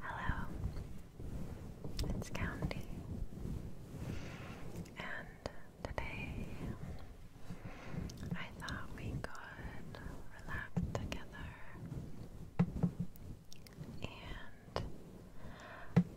Hello, it's County, and today I thought we could relax together, and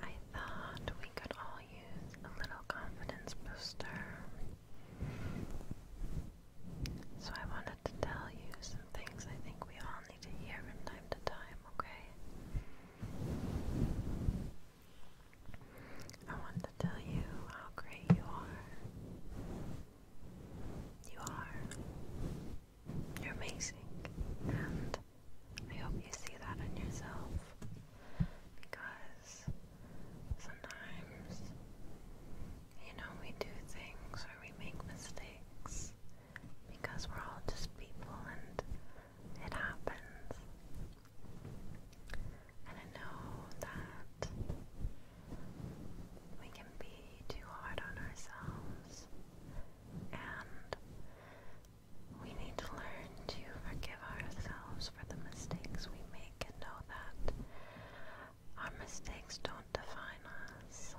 I thought we could all use a little confidence booster. So I wanted to tell you some things I think we all need to hear from time to time, okay? I want to tell you how great you are. You are. You're amazing. And I hope you see that in yourself. Because sometimes you know, we do things where we make mistakes because we're all just people and it happens. And I know that we can be too hard on ourselves and we need to learn to forgive ourselves for the mistakes we make and know that our mistakes don't define us,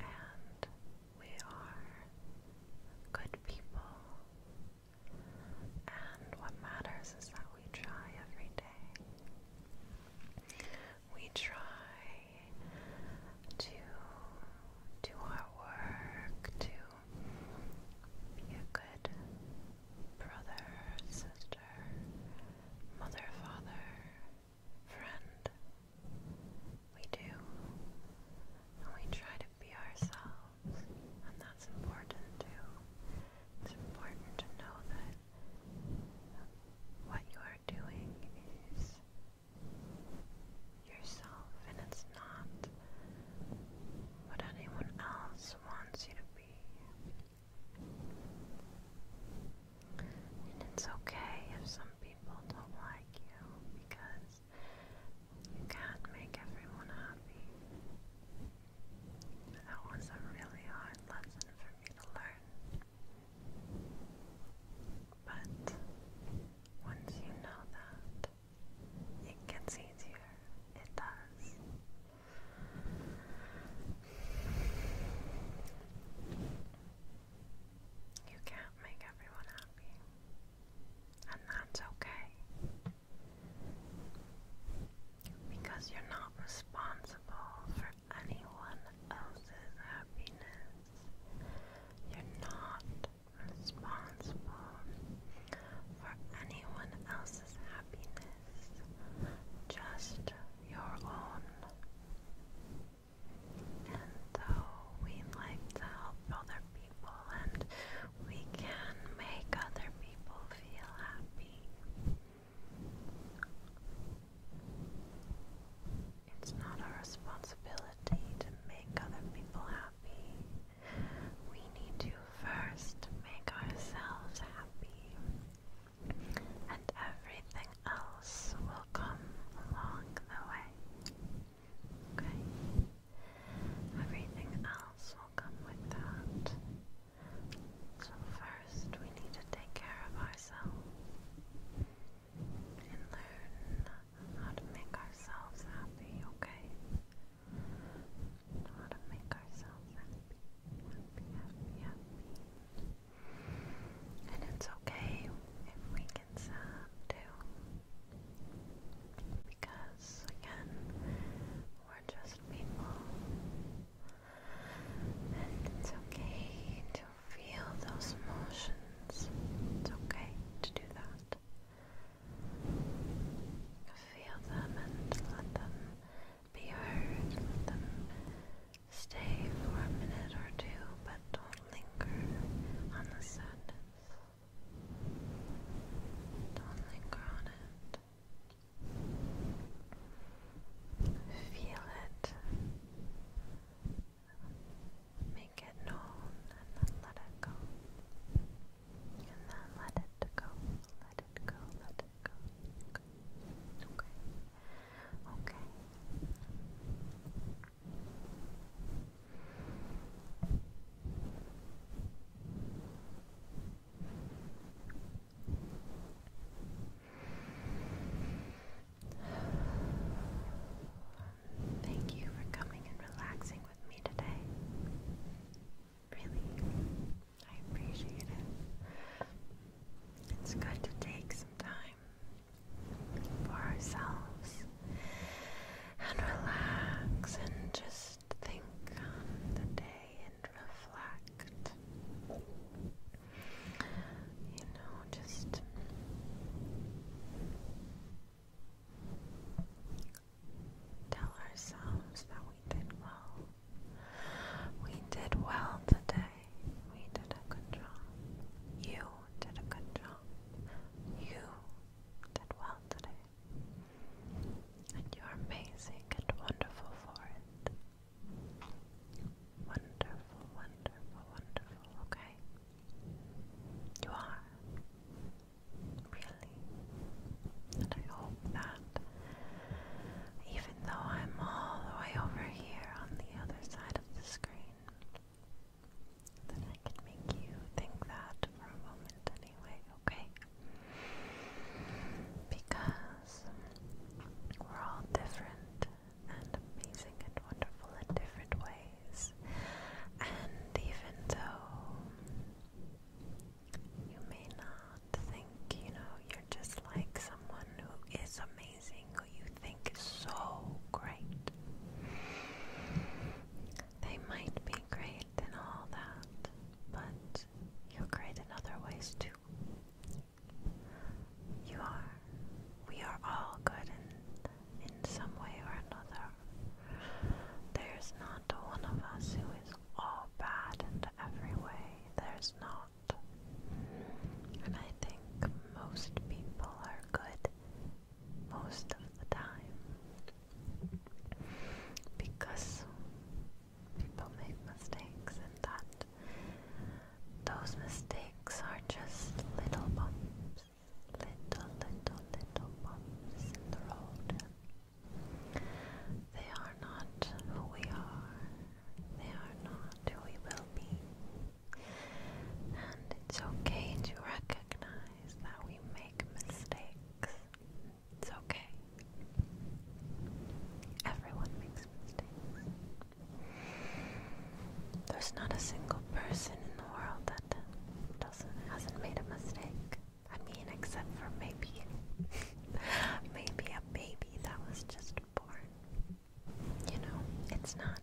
and we are good people. And what matters is that we try every day. We try to do our work, to be a good brother, sister, mother, father, friend. We do. And we try to be ourselves, and that's important too. It's important to know that what you are doing is yourself, and it's not what anyone else wants you to be. And it's okay if some people don't like you because you can't make everyone happy. But that was a really hard lesson for me to learn. But once you know that, it gets easier. It does. You can't make everyone happy, and that's okay because you're not responsible for anyone else's happiness. You're not responsible for anyone else's happiness. Just your own. And so we like to help other people and we can make other people feel happy. It's not our responsibility to make other people happy. We need to first make ourselves happy and everything else will come along the way. Everything else will come with that. So, first, we need to take care of ourselves and learn how to make ourselves happy, okay? and how to make ourselves happy, happy, happy, And it's okay if we get sad too. Because again, we're just people. And it's okay to feel those emotions. It's okay to do that. Feel them and let them be heard. Let them stay for a minute or two, but don't linger on the sadness. Don't linger on it. Feel it. Make it known and then let it go. And then let it go. Let Okay. Okay. Thank you for coming and relaxing with me today. Really, I appreciate it. It's good to take some time for ourselves and relax and just think on the day and reflect. You know, just tell ourselves that we did well we did well today. We did a good job. You did a good job. You did well today. And you're amazing and wonderful for it. Wonderful, wonderful, wonderful, okay? You are. Really. And I hope that even though I'm all the way over here on the other side of the screen. Then I can make you think that for a moment anyway, okay? Because we're all different and amazing and wonderful in different ways. And even though you may not think, you know, you're just like someone who is amazing, who you think is so great. They might be great and all that, but you're great in other ways too. You are. We are all good in in some way or another. There's not one of us who is all bad in every way. There's not. And I think most people are good most of the time because people make mistakes and that those mistakes are just little bumps. Little, little, little bumps in the road. They are not who we are. They are not who we will be. And it's okay to recognize that we make mistakes. It's okay. Everyone makes mistakes. There's not a single person in the world that doesn't hasn't made a mistake. I mean, except for maybe, maybe a baby that was just born. You know, it's not,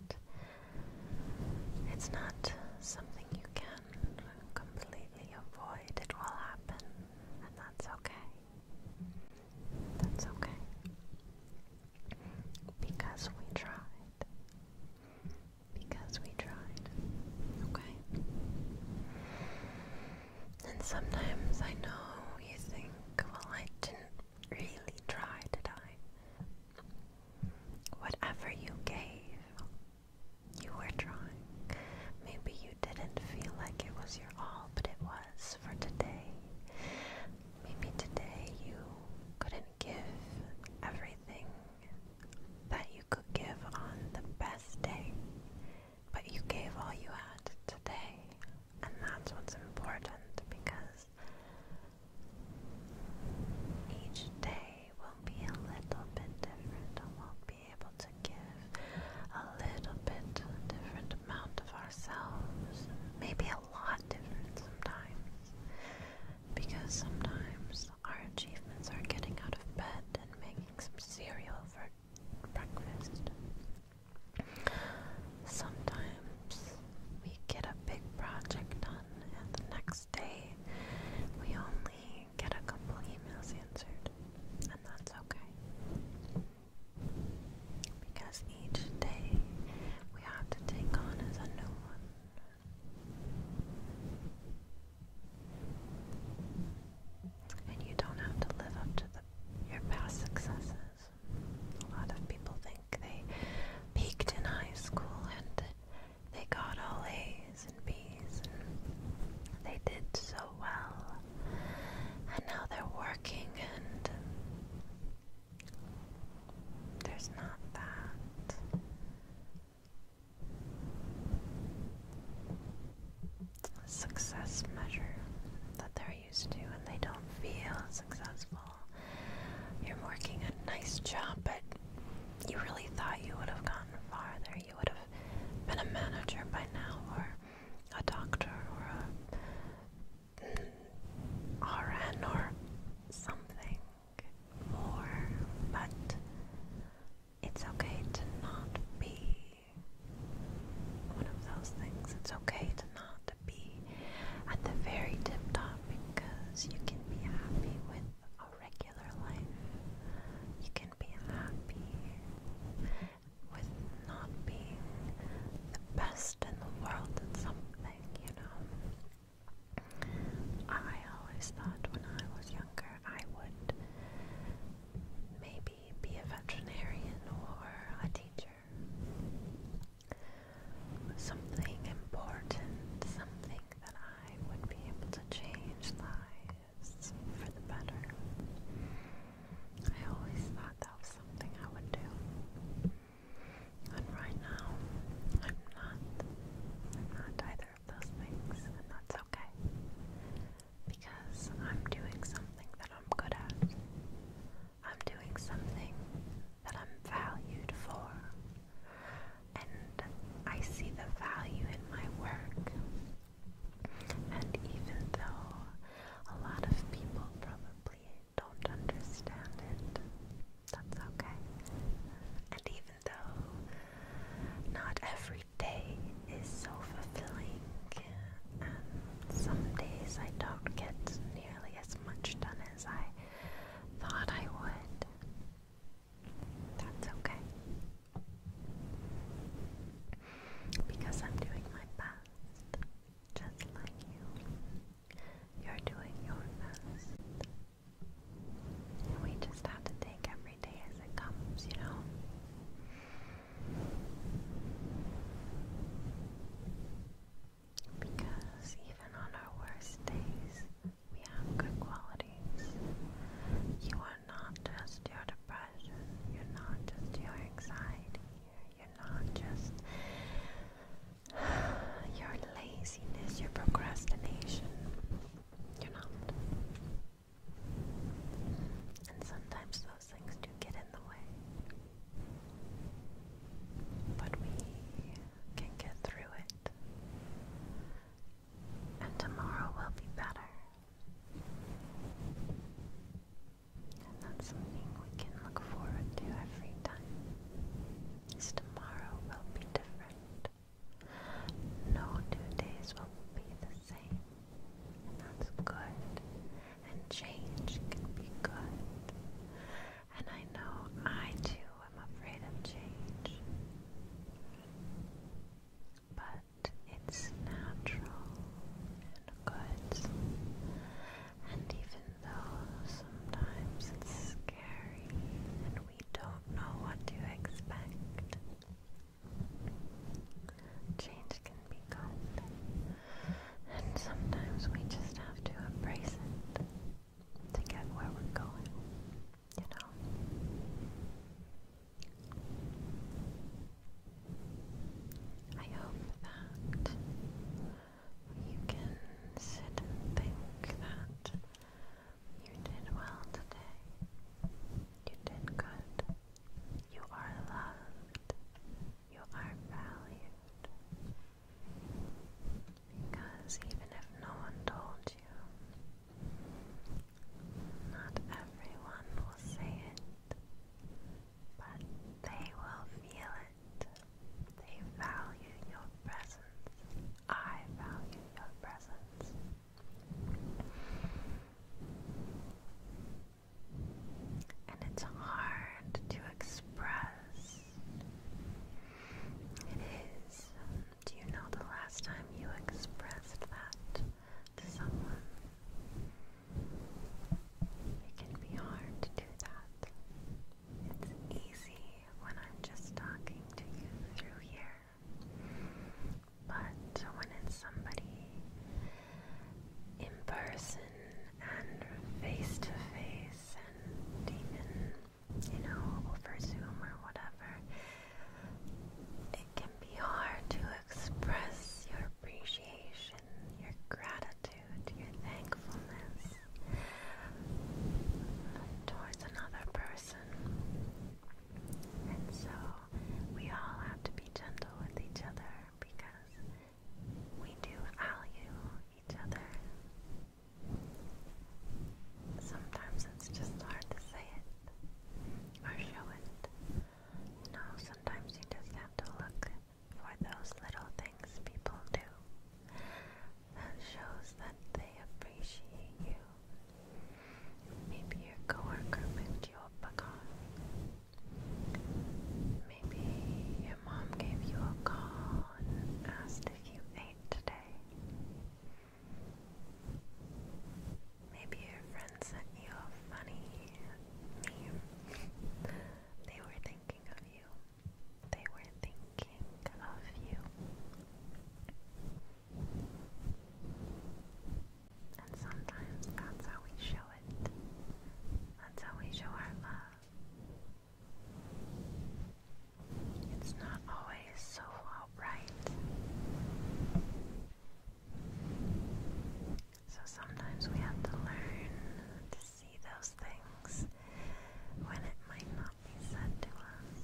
it's not something you can completely avoid. It will happen, and that's okay. That's okay. Because we tried. Because we tried. Okay? And sometimes I know you think, well, I didn't really try, did I? Whatever you gave, you were trying. Maybe you didn't feel like it was your all, but it was for today. Maybe today you couldn't give everything that you could give on the best day. But you gave all you had today, and that's what's important because each day will be a little bit different, and we'll be able to give a little bit different amount of ourselves, maybe a lot different sometimes, because sometimes our achievements are getting out of bed and making some cereal for breakfast. Sometimes we get a big project done, and the next day we only get a couple emails answered, and that's okay. Because each day we have to take on as a new one. And you don't have to live up to the, your past successes. A lot of people think they peaked in high school and they got all A's and B's and they did so well. And now they're working and there's not that success measure that they're used to and they don't feel successful. You're working a nice job, but you really thought you would have gotten farther. You would have been a manager by now, or a doctor, or a RN, or something more, but it's okay to not be one of those things. It's okay to not be at the very tip top because you can be happy with a regular life. You can be happy with not being the best in the world at something, you know. I always thought when I was younger I would maybe be a veterinarian or a teacher. Something important, something that I would be able to change lives for the better. I always thought that was something I would do. And right now, I'm not. I'm not either those things, and that's okay. Because I'm doing something that I'm good at. I'm doing something that I'm valued for. And I see the value in my work. And even though a lot of people probably don't understand it, that's okay. And even though not every day is so fulfilling, and some days I don't get nearly as much done as I thought I would. That's okay. Because I'm doing my best, just like you. You're doing your best. We just have to take every day as it comes, you know? Because even on our worst days, we have good qualities. You are not just your depression, you're not just your anxiety, you're not just your laziness, your procrastination. You're not. And sometimes those things do get in the way. But we can get through it. And tomorrow will be better. And that's something we can look forward to every time. Is tomorrow will be different. No two days will be the same, and that's good. And change can be good. And I know I too am afraid of change. But it's natural and good. And even though sometimes it's scary and we don't know what to expect, Change can be good, and sometimes we just have to embrace it to get where we're going, you know? I hope that you can sit and think that you did well today. You did good. You are loved. You are valued. Because even if no one told you, not everyone will say it, but they will feel it. They value your presence. I value your presence. And it's hard to express. It is. Do you know the last time you expressed that to someone? It can be hard to do that. It's easy when I'm just talking to you through here. But when it's somebody in person and face to face and even, you know, over Zoom or whatever, it can be hard to express your appreciation, your gratitude, your thankfulness towards another person. And so we all have to be gentle with each other because we do value each other. Sometimes it's just hard to say it or show it. You know, sometimes you just have to look for those little things people do. That shows that they appreciate you. Maybe your coworker picked you a car. Maybe your mom gave you a call and asked if you ate today. Maybe your friend sent you a funny meme. they were thinking of you. They were thinking of you. And sometimes that's how we show it. That's how we show our love. It's not always so outright. So sometimes we have to learn to see those things when it might not shall said to us.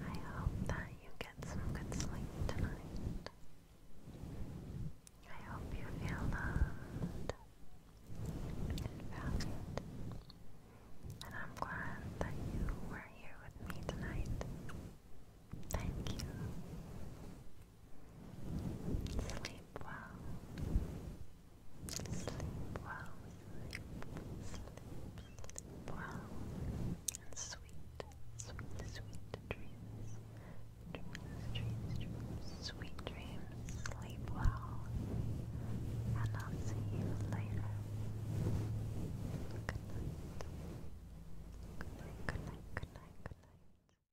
I hope that you get some good sleep tonight. I hope you feel loved and valued. And I'm glad that you were here with me tonight. Thank you. Sleep well. Sleep well. Sleep, sleep, well. And sweet, sweet, sweet Dreams, dreams, dreams. Sweet dreams. Sleep well. And I'll see you later. Good night. Good night, good night, good night, good night.